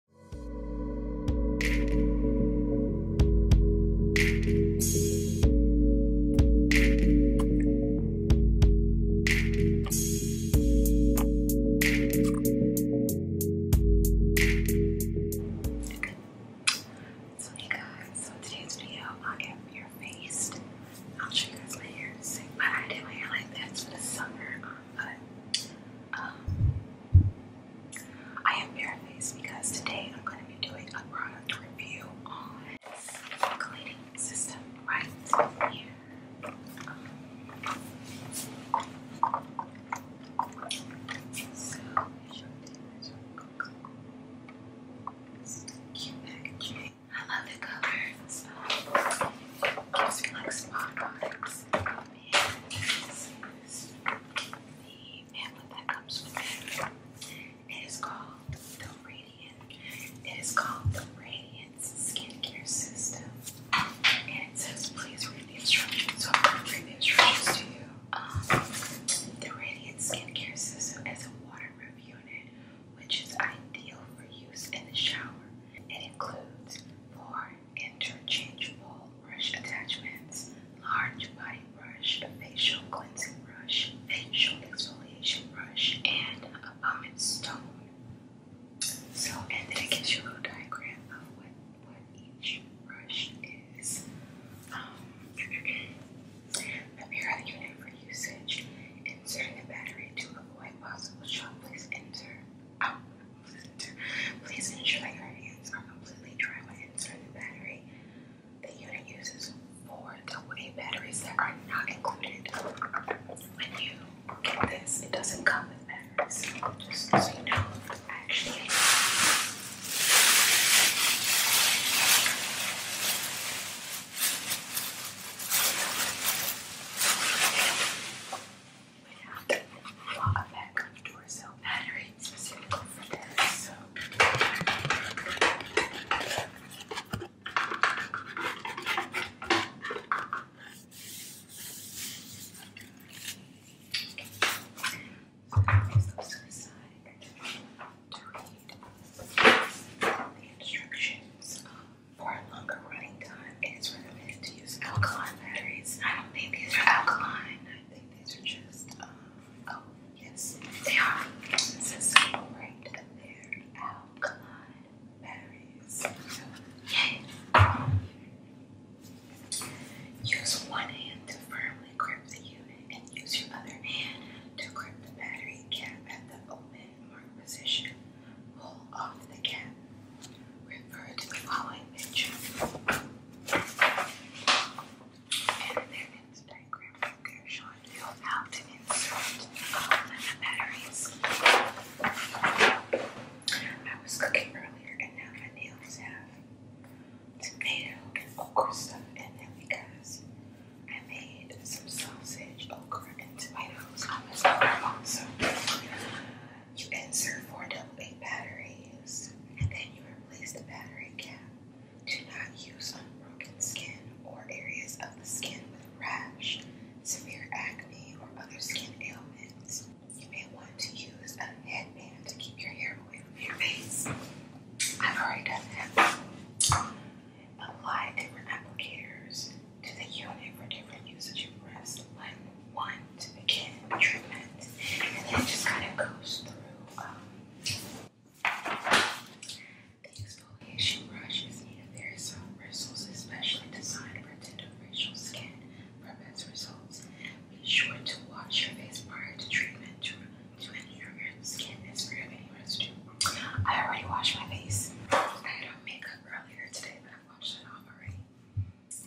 So hey guys, so in today's video I am bare faced. I'll show you guys my hair but I did my hair like that for the summer. Um, I am barefaced because today I'm going to be doing a product review on this cleaning system right here. so, cute packaging. I love the color. It like spa the pamphlet that comes with It is called the Radiant. It is called the Radiance Skincare System. And it says, please read the instructions. So I'm going to read the instructions to you. the Radiant Skincare System is a waterproof unit which is ideal for use in the shower. It includes four are interchangeable brush attachments, large body brush, facial cleansing brush, facial exfoliation brush, and a vomit stone. So, and then it gives you a little diagram of what, what each brush is. Um, the unit for usage, inserting a battery to avoid possible shock, please enter out. Please ensure your hands are completely dry when inserting the battery. The unit uses four AA batteries that are not included. When you get this, it doesn't come with batteries. Just so you know, actually. We have a pack of Duracell battery specifically for this. So. So those to the side to read the instructions for a longer running time. it's recommended to use alkaline batteries. I don't think these are alkaline. I think these are just, um, oh, yes, they are. It says right there, alkaline batteries. So, yay. Use one hand to firmly grip the unit and use your other hand to grip the battery cap at the open mark position pull off the cap. Refer to the following picture and their Instagram they're showing to insert all um, the batteries. I was cooking earlier and now my nails have tomato and stuff in them because I made some sausage, so you insert four double A batteries and then you replace the battery cap. Do not use unbroken skin or areas of the skin with rash, severe acne, or other skin ailments. You may want to use a headband to keep your hair away from your face. I've already done that apply different applicators to the unit for different usage of breaths, like one to begin treatment, and it just kind of goes through. Um, the exfoliation brushes need made very soft bristles, especially designed for tender facial skin for best results. Be sure to wash your face prior to treatment to, to ensure your skin is free of any residue. I already washed my face. I had on makeup earlier today, I've washed it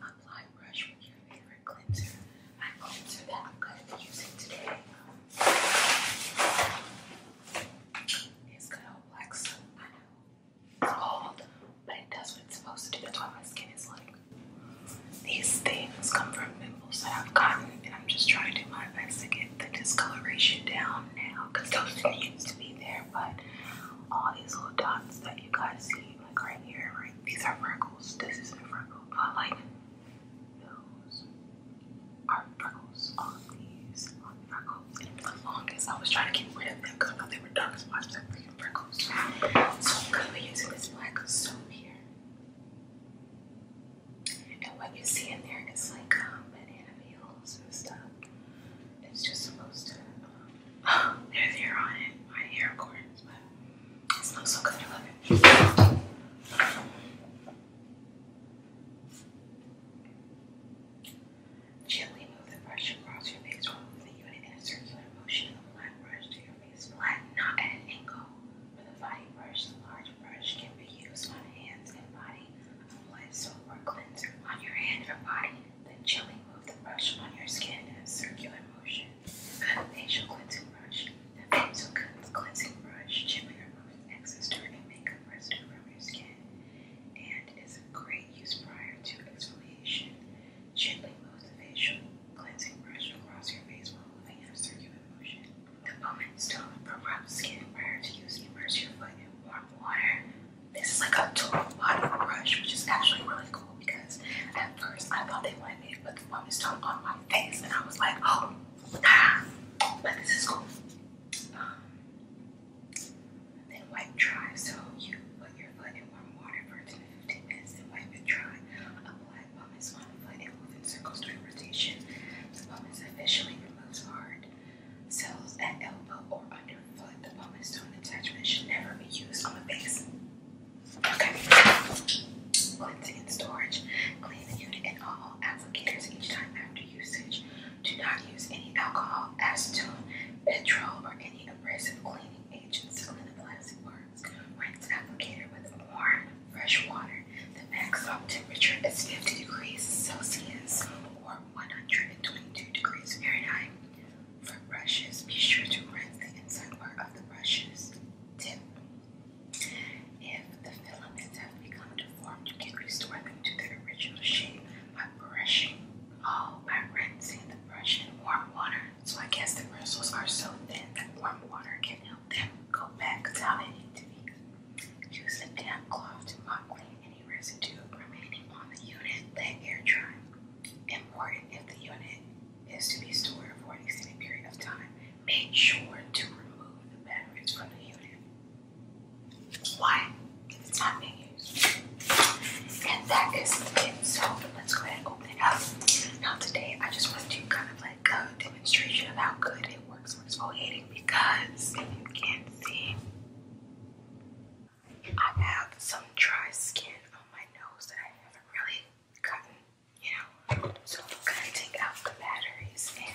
Apply brush with your favorite cleanser. I'm cleanser that I'm going to be using today. It's good old black soap. I know it's cold, but it does what it's supposed to do. That's why my skin is like. These things come from pimples that I've gotten, and I'm just trying to do my best to get the discoloration down now because those didn't used to be there there, but all these little dots that you guys see, like right here, right? These are freckles. This isn't a freckle, but like those are freckles. All of these are freckles. And for the longest, I was trying to get rid of them because I thought they were dark spots, like freaking freckles. So I'm gonna using this black soap here. And what you see in there is like um, banana it's just supposed to. there's hair on it. My hair, of but it smells so good. I love it. Gently move the brush across your face, remove the unit in a circular the black brush to your face. Flat, not at an angle. With a brush, the large brush can be used on hands and body. Apply soap or cleanser on your hand or body, then gently move the brush on your skin in a circular motion. I have facial cleansing brush. facial cleansing brush gently removes excess dirt makeup residue from your skin and is a great use prior to exfoliation. Gently move the facial cleansing brush across your face while moving in a circular motion. The moment stone from rough skin prior to use. using, immerse your foot in warm water. This is like a total body brush, which is actually really cool because at first I thought they wanted me to put the woman stone on my face, and I was like, oh, ah, but this is cool. Um, then wipe dry. So you put your foot in warm water for 10 to 15 minutes and wipe it dry. Apply pumice on the foot and in circles to rotation. The pumice officially removes hard. Soles at elbow or under The bone and stone attachment should never be used on the base. Okay. Cleansing and storage. Clean the unit and all applicators each time after usage. Do not use any alcohol, acetone, petrol, or any abrasive cleaning agents to clean the plastic worms. Rinse applicator with warm, fresh water the maximum temperature is 50 degrees Celsius or 122 degrees Fahrenheit. For brushes, be sure to rinse the inside part of the brushes tip. If the filaments have become deformed, you can restore them to their original shape by brushing. all by rinsing the brush in warm water. So I guess the bristles are so thin that warm water can help. Then go back to how they need to be. Use a damp cloth to mop clean any residue remaining on the unit that air dry. Important if the unit is to be stored for an extended period of time, make sure to remove the batteries from the unit. Why? It's not being used. And that is it. So let's go ahead and open it up. Now today I just want to kind of like a demonstration of how good it works exfoliating because you can't see, I have some dry skin on my nose that I haven't really gotten, you know. So I'm gonna take out the batteries and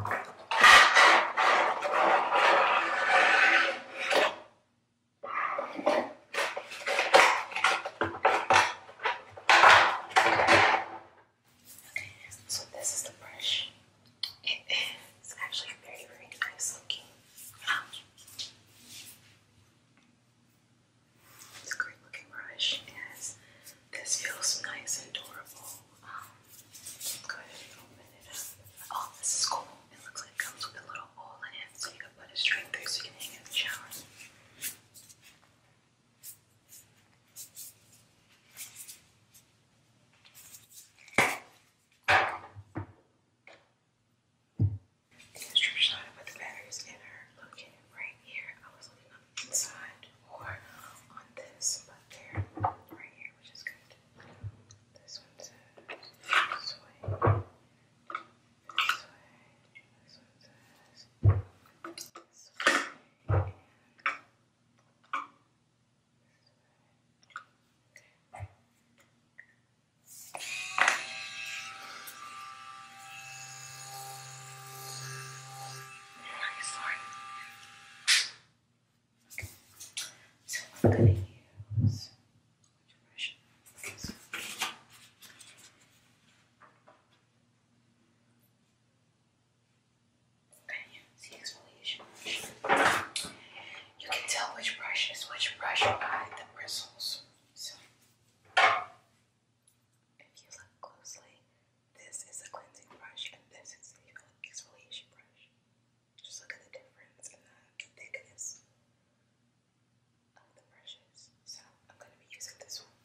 Okay, so this is the brush. It is actually very, very nice looking. It's a great looking brush, as this feels nice and durable. Um, go ahead and open it up. Oh, this is cool. It looks like it comes with a little hole in it, so you can put it straight through so you can hang it in the shower. The instruction on to put the batteries in located right here. I was looking on the inside or um, on this, but they right here, which is good. This one this way. This way. This one this way. Okay. So I'm gonna use which brush? exfoliation brush. You can tell which brush is which brush by the bristles. So, if you look closely, this is a cleansing brush and this is an exfoliation brush. Just look at the difference in the thickness of the brushes. So, I'm going to be using this one.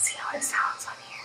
See how it sounds on here.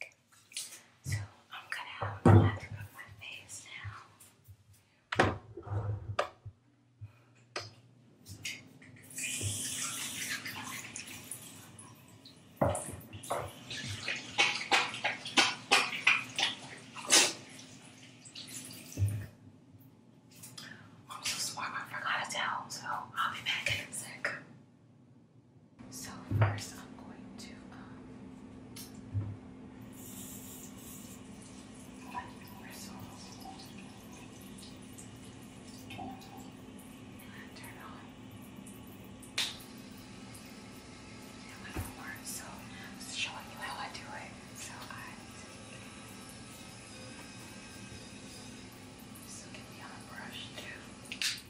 Okay. So I'm gonna have a mask on my face now. I'm so smart, I forgot a towel, so I'll be back in a sec. So first I'm going to um turn on. It wouldn't so I'm showing you how I do it. So I just get the other brush too.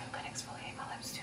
I'm gonna exfoliate my lips too.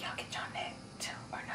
Y'all get your neck too, or no?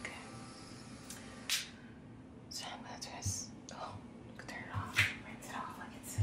Okay. So I'm gonna twist. Oh, turn it off. Rinse it off like it said.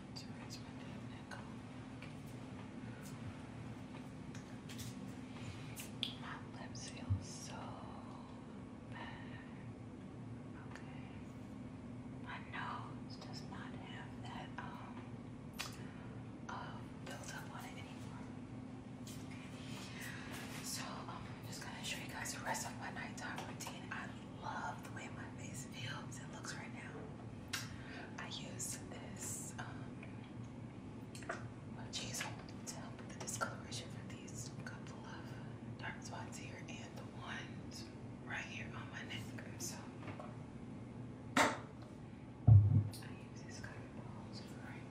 So it's my damn My lips feel so bad. Okay. My nose does not have that um uh on it anymore. So I'm just gonna show you guys the rest of my nighttime routine love the way my face feels and looks right now. I used this um, cheese to help with the discoloration for these couple of dark spots here and the ones right here on my neck. So I use this cotton balls right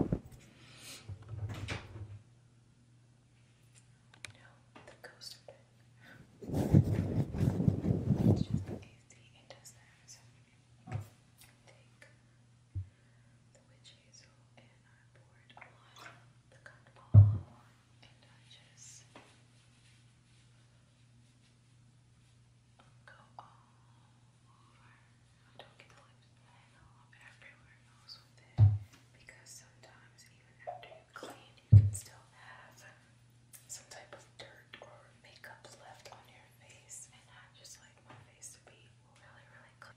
here. No, the ghost of it. It's just easy. It does that. the witch hazel and I poured the cotton and I just go all don't get the lips bled everywhere else with it because sometimes even after you clean you can still have some type of dirt or makeup left on your face and I just like my face to be really really clean.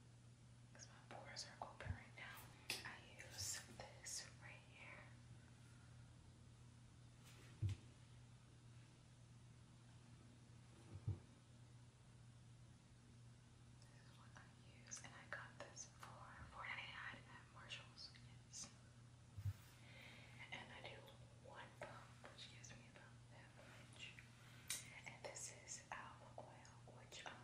because my pores are open right now. I use this right here. This is what I use, and I got this for 4 at Marshalls. Yes. And I do one pump, which gives me about that much. And this is almond oil, which um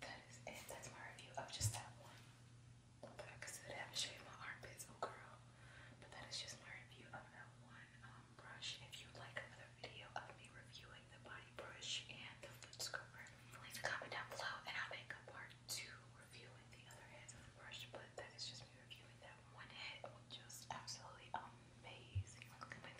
that is it. That's my review of just that one. But I consider that having shaved my armpits, oh girl. But that is just my review of that one um, brush. If you'd like another video of me reviewing the body brush and the foot scrubber, leave a comment down below and I'll make a part two reviewing the other heads of the brush. But that is just me reviewing that one head, which was absolutely amazing. Look at my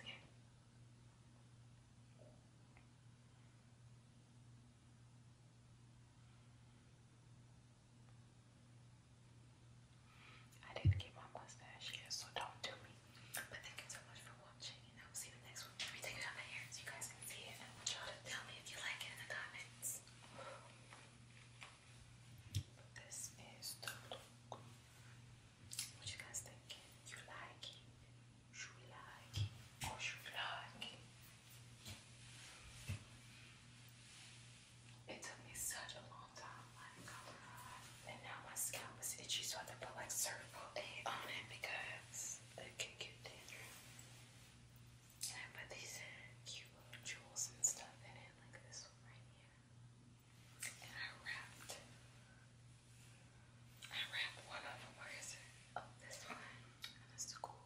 I didn't get my mustache yet, so don't do me. But thank you so much for watching, and I will see you next week. Everything is my hair you guys can see it. y'all to tell me if you like it in the comments. But this is the What you guys think? You like it? Sri Lanka, oh Sri Lanka. It took me such a long time, and now my scalp is itchy, so I have to put like cervical A on it because it can get dangerous. And I put these cute little jewels and stuff in it, like this one right here. And I wrapped I wrapped one of them. Where is oh, this one. And it's cool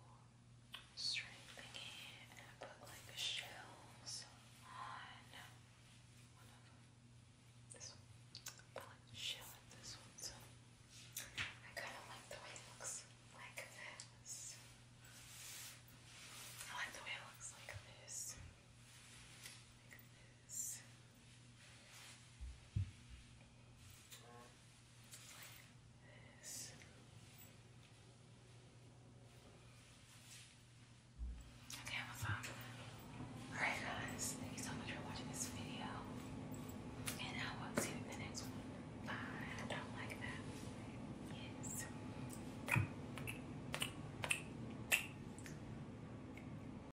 string thingy. And I put like shells on one of them. This one. I put like the shell this one too. I kind of like the way it looks like this. I like the way it looks Like this. Okay, I'm a Alright guys, thank you so much for watching this video. And I will see you in the next one. Bye. I don't like that. Yes.